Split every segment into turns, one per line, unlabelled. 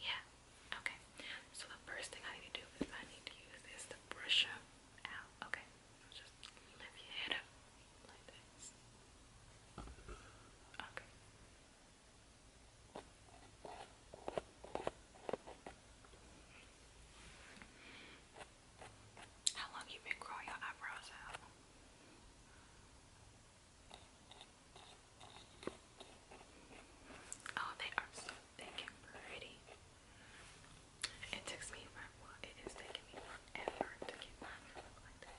Yeah, okay. So the first thing I need to do is I need to use is to brush up out. Okay, just lift your up like this. Okay. How long you been growing your eyebrows out? Oh, they are so thick and pretty. It takes me my it is taking me forever to get mine to look like that.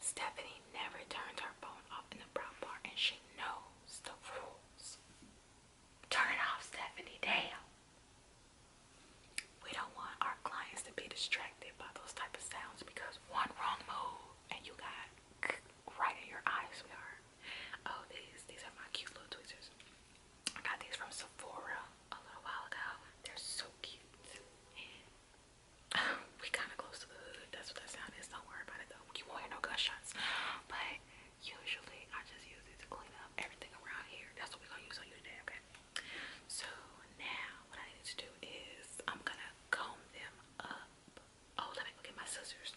Stephanie never turns her phone off in the prop bar and she knows the rules. Turn it off, Stephanie, damn. We don't want our clients to be distracted by those type of sounds because one wrong move and you got right in your eyes, sweetheart. Oh, these, these are my cute little tweezers. I got these from Sephora a little while ago. They're so cute. we kind of close to the hood. That's what that sound is. Don't worry about it though. We won't hear no gunshots. But usually I just use it to clean up everything around here. That's what we're gonna use on you today, okay? So now what I need to do is I'm gonna comb them up. Oh, let me go get my scissors.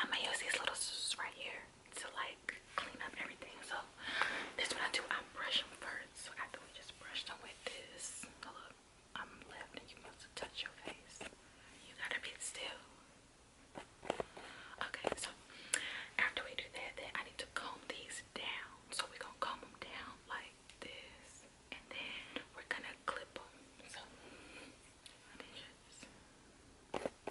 I'm gonna use these little scissors right here to like clean up everything. So this is I do. I brush them first. So after we just brush them with this, a I'm laughing. You must have your face. You gotta be still. Okay, so after we do that, I need to comb these down. So we're gonna comb them down like this, and then we're gonna clip them. So let me just. Okay.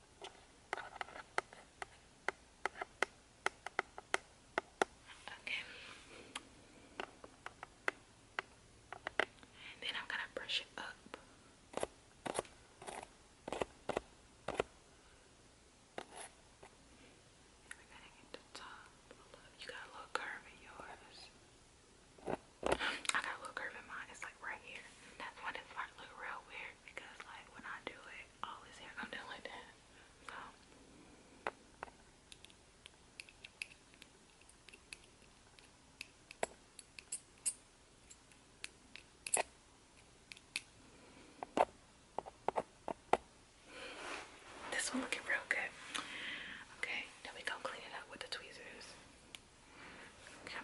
Okay. And then I'm going to brush it up. You got a little curve in yours. I got a little curve in mine. It's like right here. That's when it might look real weird because like when I do it, all his hair come down like that. So this one looking real good. Okay, then we go clean it up with the tweezers. Okay.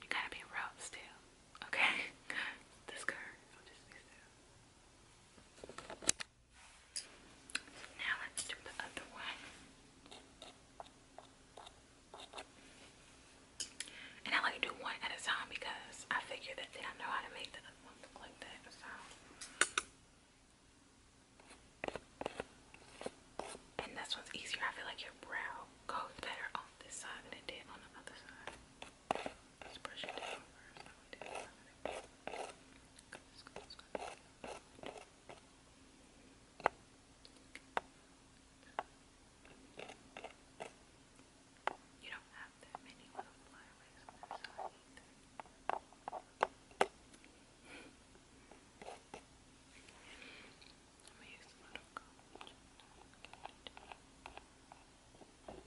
You gotta be routes too. Okay, this car. Now let's do the other one. And I like to do one at a time because I figure that they don't know how to make the other one look like that. So. And this one's easier. I feel like your brow goes better on this side than it did on the other side. let brush it down you don't have that many little flyaways on this side either. Let me use a little comb. Not too Good.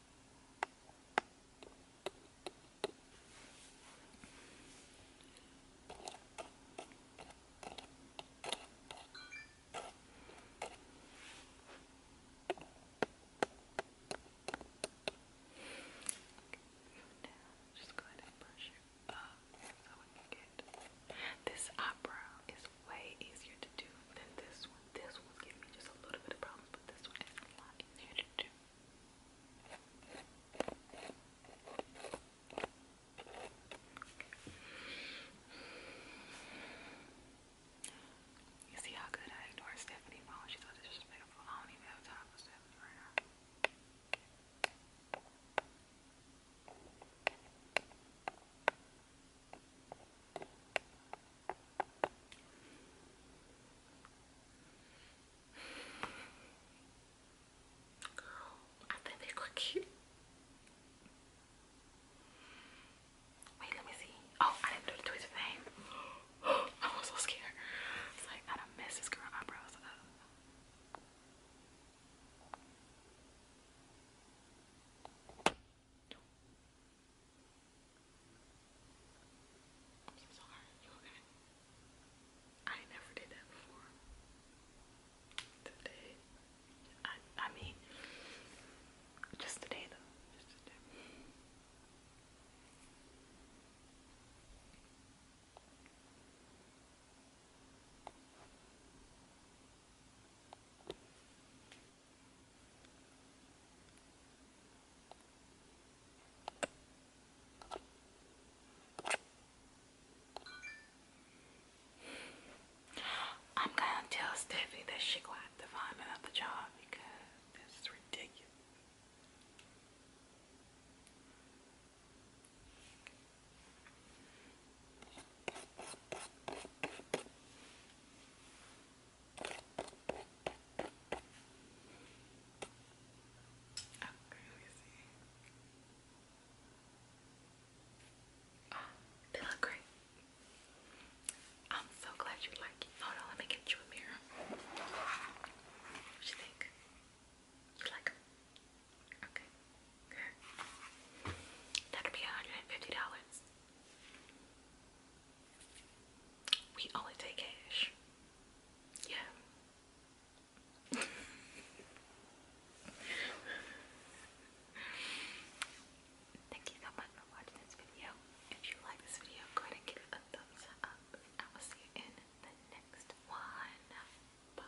Now, just go ahead and brush it up uh, so we can get this eyebrow way easier to do than this one. This one's giving me just a little bit of problems, but this one is a lot easier to do. You see how good I ignore Stephanie phone? She's so disrespectful. I don't even have time for Stephanie right now. Girl, I think they look cute. Wait, let me see. Oh, I didn't do the thing. I was so scared. It's like I done messed this girl eyebrows I'm sorry, you okay? I never did that before. Today, I, mean, just today though, just today. I'm gonna tell Steffi that she gonna have to find another job because this is ridiculous see. Oh, I'm so glad you like it. Hold on, let me get you a mirror. What you think? You like them? Okay. That'll be $150. We only take cash. Yeah. Thank you so much for watching this video. If you like this video, go ahead and give it a thumbs up. I will see you in the next one. Bye.